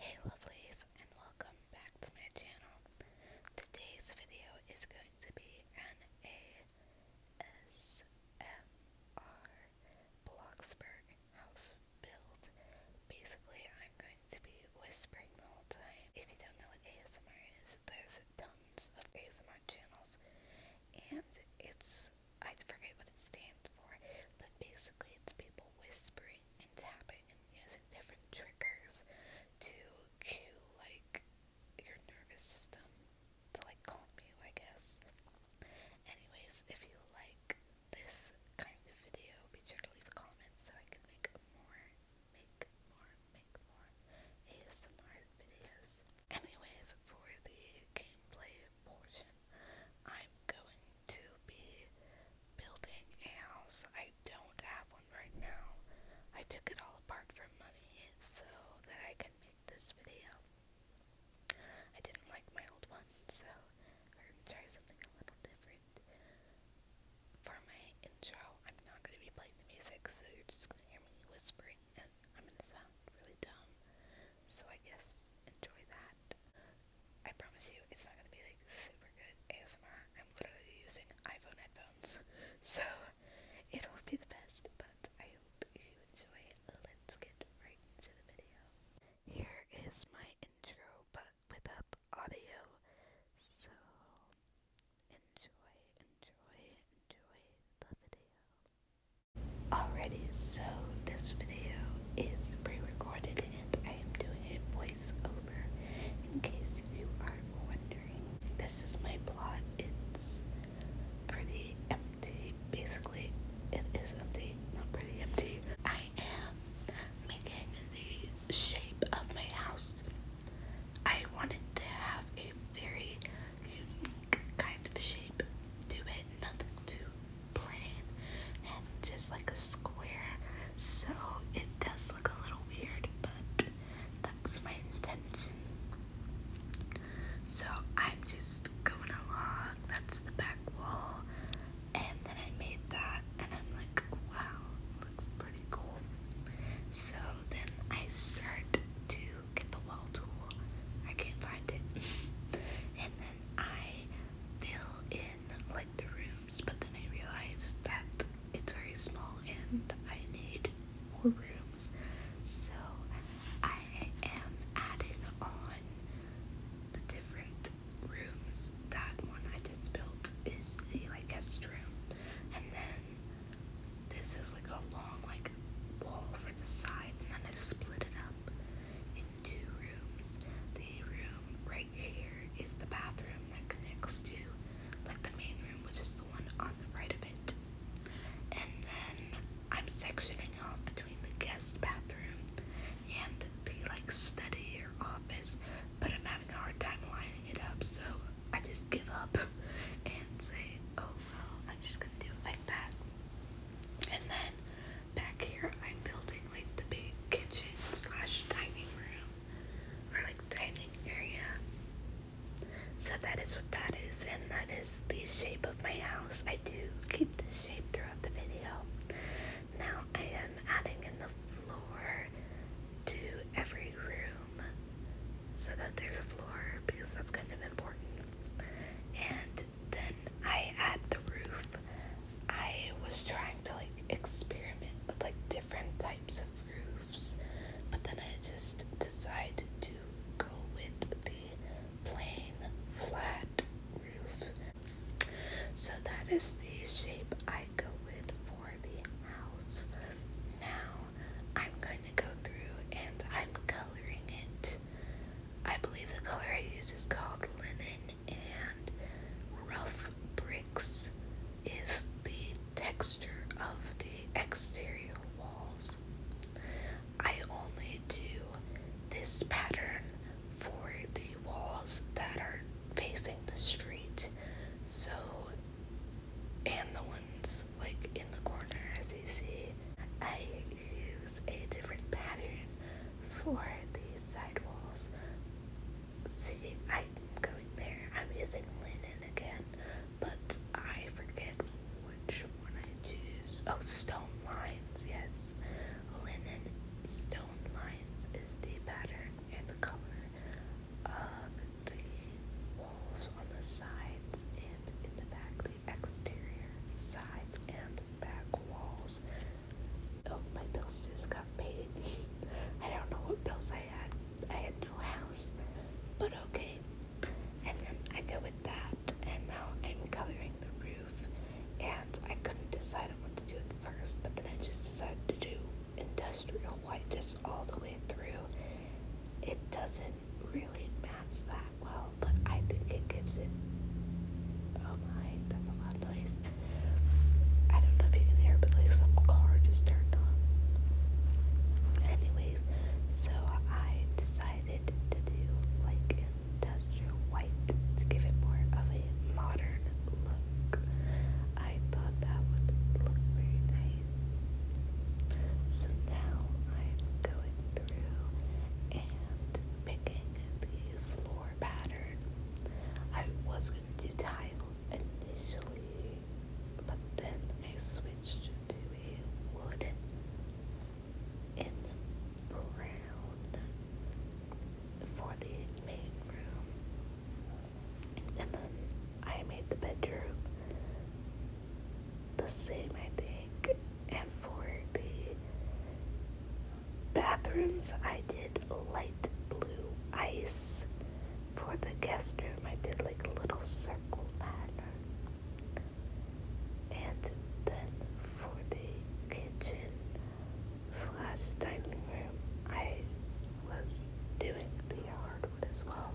Hey lovelies and welcome back to my channel. Today's video is going to be an ASMR Bloxburg house build. Basically I'm going to be whispering the whole time. If you don't know what ASMR is, there's tons of ASMR channels and it's I forget what it stands for, but basically it's people whispering and tap it and using different triggers to cue like your nervous system to like calm you I guess. Anyways, if you like this kind of video, be sure to leave a comment so I can make more, make more, make more ASMR videos. Anyways, for the gameplay portion, I'm going to be building a house. I don't have one right now. I took it all apart for money so that I can make this video. I didn't like my old one, so I'm gonna try something a little different. For my intro, I'm not gonna be playing the music, so you're just gonna hear me whispering, and I'm gonna sound really dumb. So I guess enjoy that. I promise you, it's not gonna be like super good ASMR. I'm literally using iPhone headphones, so it won't be the best, but I hope you enjoy. Let's get right into the video. Here is my intro, but without the audio, so enjoy, enjoy, enjoy the video. Alrighty, so this video is pre-recorded and I am doing it way voiceover in case you are wondering. This is my plot. It's pretty empty. Basically, it is empty, not pretty empty. I am making the shape of my house. I wanted to have a very unique kind of shape to it, nothing too plain and just like a square. So it does look a little weird, but that was my intention. So I'm just going along. That's the back wall. And then I made that and I'm like, wow, looks pretty cool. So then I start to get the wall tool. I can't find it. and then I fill in like the room but then I realized that it's very small and I need more rooms. So I am adding on the different rooms. That one I just built is the like guest room. And then this is like a long like wall for the side and then I split it up in two rooms. The room right here is the bathroom that connects to like the main room, which is the one on the right of it. And then I'm sectioning off between the guest bathroom and the like study or office, but I'm having a hard time lining it up, so I just give up and say, oh well, I'm just gonna do it like that. And then back here I'm building like the big kitchen slash dining room or like dining area. So that is what that is and that is the shape of my house. I do keep the shape throughout the video. Now I am adding the floor to every room so that there's a floor because that's kind of important. And then I add the roof I was trying to like experiment with like different types of roofs, but then I just decided to go with the plain flat roof. So that is the shape I go with for the house. Now I'm going to go through and I'm coloring it. I believe the color I use is called linen and rough bricks is the texture of the exterior walls. I only do this pattern for the walls that are facing the street, so and the ones like in the corner, as you see. I use a different pattern for these. See, I'm going there. I'm using linen again, but I forget which one I choose. Oh, stone lines, yes. Linen stone lines is the pattern and the color of the walls on the sides and in the back, the exterior side and the back walls of oh, my bills just got paid. I don't know what bills I had. I had no house, but okay. And then I go with that, and now I'm coloring the roof. And I couldn't decide what to do first, but then I just decided to do industrial white just all the way through. It doesn't really match that well, but I think it gives it. Oh my, that's a lot of noise. I don't know if you can hear, but like some car just turned on. Anyways, so I decided to do like industrial white to give it more of a modern look. I thought that would look very nice. So now I'm going through and picking the floor pattern. I was going to do tile initially, but then I switched to a wood in brown for the main room. And then I made the bedroom the same, I think. And for the bathrooms, I did light blue ice. For the guest room, I did like a little circle pattern. And then for the kitchen slash dining room, I was doing the hardwood as well.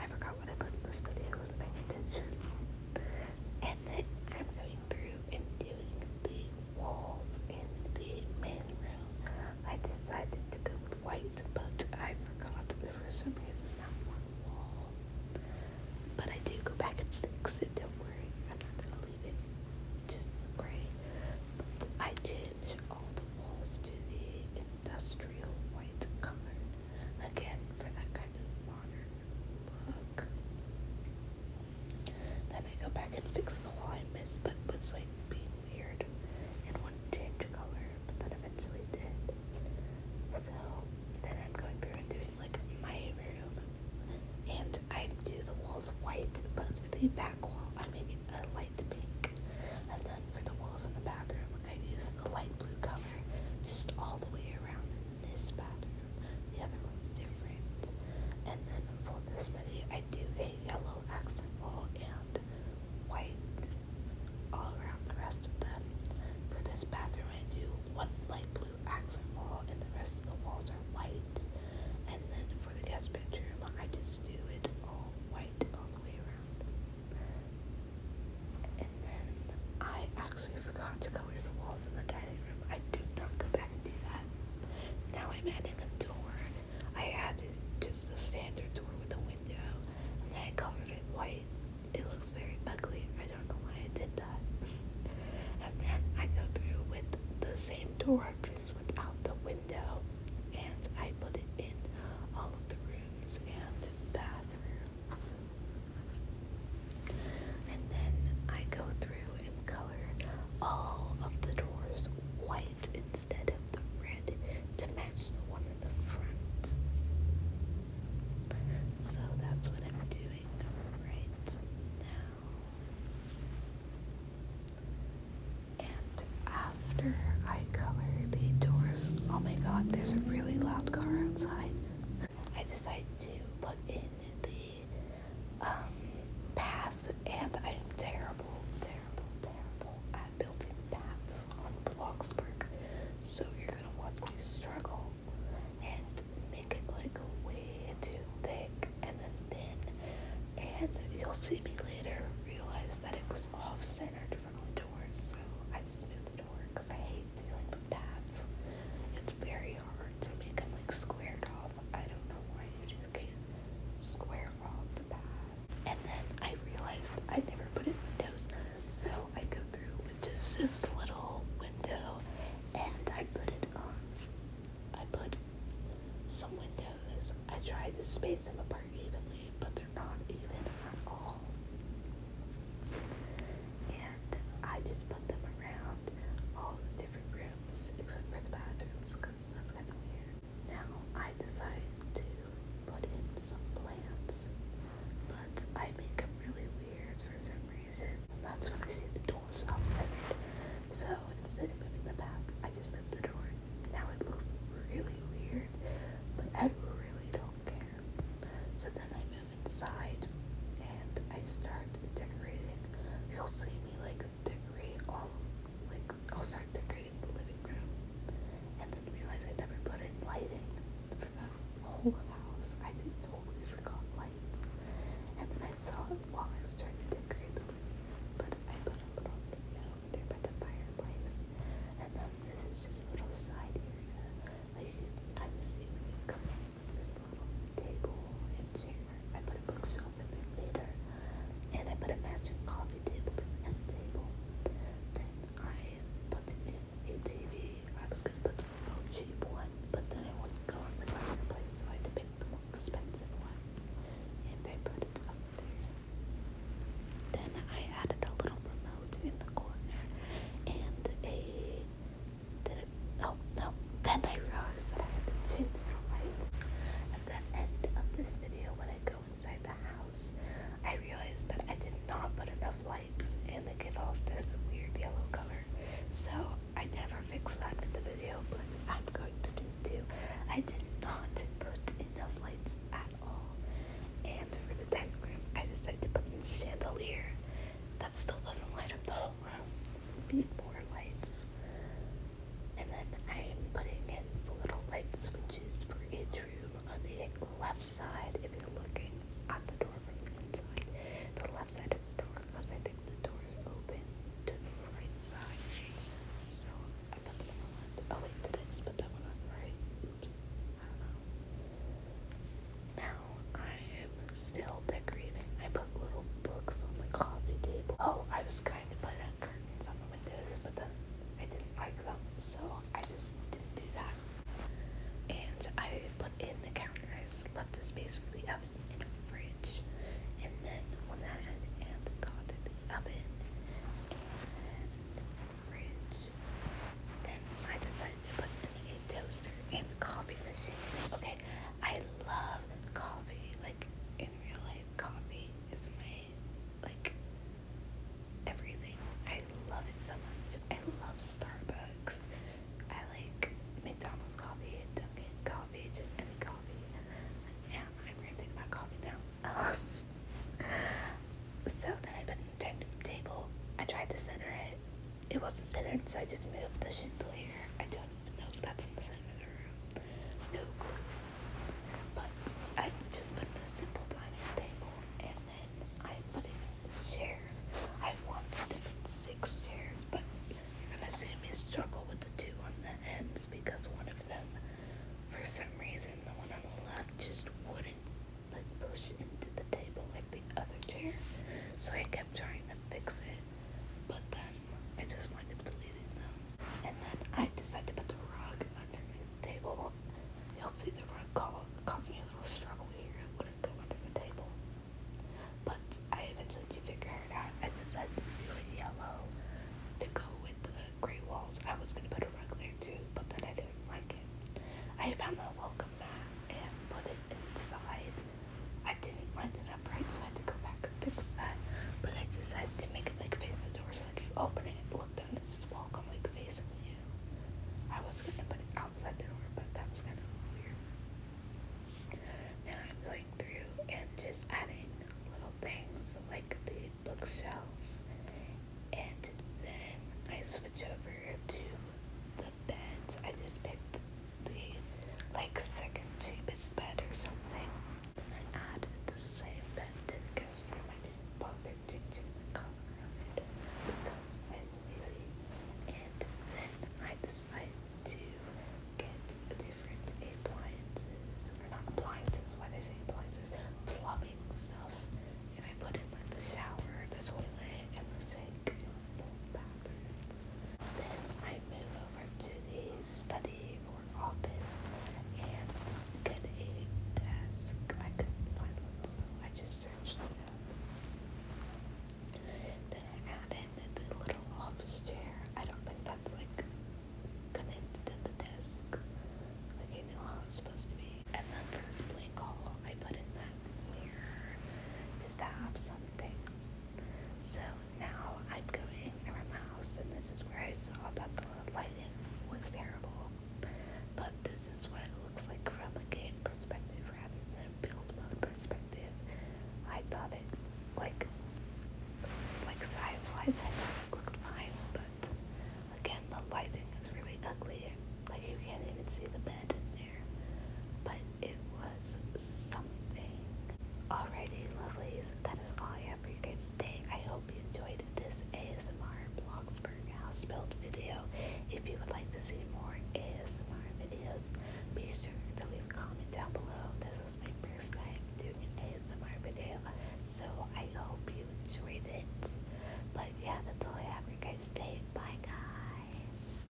I forgot what I put in the studio, I wasn't paying attention. And then I'm going through and doing the walls in the main room. I decided to go with white, but I forgot for some reason that one wall. But I do go back and fix it, don't worry. I'm not gonna leave it just the gray. But I changed all the walls to the industrial white color. Again, for that kind of modern then I go back and fix the wall I missed, but was like being weird and wouldn't change color, but then eventually did. So then I'm going through and doing like my room, and I do the walls white, but for the back wall I make it a light pink, and then for the walls in the bathroom I use the light blue color just all the way around this bathroom. The other one's different. And then for this study, I do a yellow accent wall and white all around the rest of them. For this bathroom, I do one light blue accent wall, and the rest of the walls are white. And then for the guest bedroom, I just do it all white all the way around. And then I actually forgot to color the walls in the dining room. I did not go back and do that. Now I'm adding a door. I added just a standard door with a window, and I colored it white. It looks very ugly. I don't know why I did that. and then I go through with the same door, just without the window, and I put it in all of the rooms and bathrooms. And then I go through and color all of the doors white instead of the red to match the one in the front. So that's what I'm doing right now. And after I color the doors, oh my god, there's a really loud car outside. I decided to put in the um, path, and I am terrible, terrible, terrible at building paths on Bloxburg. So you're gonna watch me struggle and make it like way too thick and then thin, and you'll see me later realize that it was off-centered from the door. So I just moved the door because I hate dealing with paths. It's very hard to make them like squared off. I don't know why you just can't square off the path. And then I realized I never put in windows, so I go through with just this little window and I put it on. I put some windows. I try to space them apart evenly, but they're not even at all. And I just put them around all the different rooms except for the bathrooms that's kind of weird. Now I decided to put in some plants, but I make them really weird for some reason. That's when I see the door stop centered. So instead of moving the map, I just moved the door. Now it looks really weird, but I really don't care. So then I move inside and I start decorating you'll see me like decorate all like I'll start decorating the living room and then realize I never put in lighting for the whole house. I just totally forgot lights. And then I saw while I was trying to decorate the living room, but I put a little area over there by the fireplace. And then this is just a little side area. Like you can kind of see when you come in this little table and chair. I put a bookshelf in there later, and I put a matching coffee table to table. Then I put in a TV. I was gonna put a real cheap one, but then I wouldn't go on the right place, so I had to pick the more expensive one, and I put it up there. Then I added a little remote in the corner and a Oh no. Then I realized that I had to change lights. At the end of this video, when I go inside the house, I realized that I did not put enough lights and they give off this weird yellow color. So I never fixed that in the video, but I'm going to do it too. I did not put enough lights at all. And for the dining room, I decided to put in chandelier. That still doesn't light up the whole Oh wow, need more lights. And then I'm putting in little light switches for each room on the left side if you're looking at the door from the inside. The left side of the door because I think the door is open to the right side. So I put them on Oh wait, did I just put that one on right? Oops. Now I'm still decorating. I put little books on the coffee table. Oh, I was going to put curtains on the windows, but then I didn't like them, so I just didn't do that. And I put in the counters, left a space for the oven and fridge. And then one ahead and the oven and fridge. Then I decided to put in a toaster and coffee machine. Okay, I love coffee. Like in real life, coffee is my like everything. I love it so much. I love Starbucks. I like McDonald's coffee, Dunkin' coffee, just any coffee. Yeah, I'm ranting about coffee now. so then I put it on the table. I tried to center it it wasn't centered, so I just moved the shingle here. I don't even know if that's in the center of the room. No clue. But I just put the simple dining table and then I put in chairs. I wanted six chairs, but you're gonna see me struggle with the two on the ends because one of them, for some reason, the one on the left just wouldn't like push into the table like the other chair. So I kept trying to fix it but then I just wind up deleting them. And then I decided to put the rug underneath the table. You'll see the rug call, caused me a little struggle here. It would under the table. But I eventually did figure it out. I decided to do a yellow to go with the gray walls. I was going to put a rug there too, but then I didn't like it. I found that welcome and put it inside. I didn't run it up right, so I had to go back and fix that. But I decided to make it like face the door so I could open it and look down and just walk on like facing you. I was gonna put it outside the door, but that was kind of weird. Now I'm going through and just adding little things like the bookshelf, and then I switch over to the beds. I just picked the like second cheapest bed or something. I added the same bed to I didn't bother changing color of it because I'm lazy. And then I decided to get different appliances or not appliances, why they say appliances? Plumbing stuff. And I put in like the shower, the toilet, and the sink. Then I move over to the study or office and get a desk. I could find one, so I just searched it up. Then I add in the little office chair. I don't think that's like connected to the desk. Like I know how it's supposed to be. And then for this blank hall, I put in that mirror just to have something so now I'm going around the house, and this is where I saw that the lighting was terrible. But this is what it looks like from a game perspective rather than a build mode perspective. I thought it, like, like size-wise, I thought it looked fine, but again, the lighting is really ugly. Like, you can't even see the bed in there but it was something. Alrighty, lovelies, that is all I have for you guys today. I hope you enjoyed this ASMR Bloxburg house build video. If you would like to see more ASMR videos, be sure to leave a comment down below. This was my first time doing an ASMR video, so I hope you enjoyed it. But yeah, that's all I have for you guys today. Bye, guys.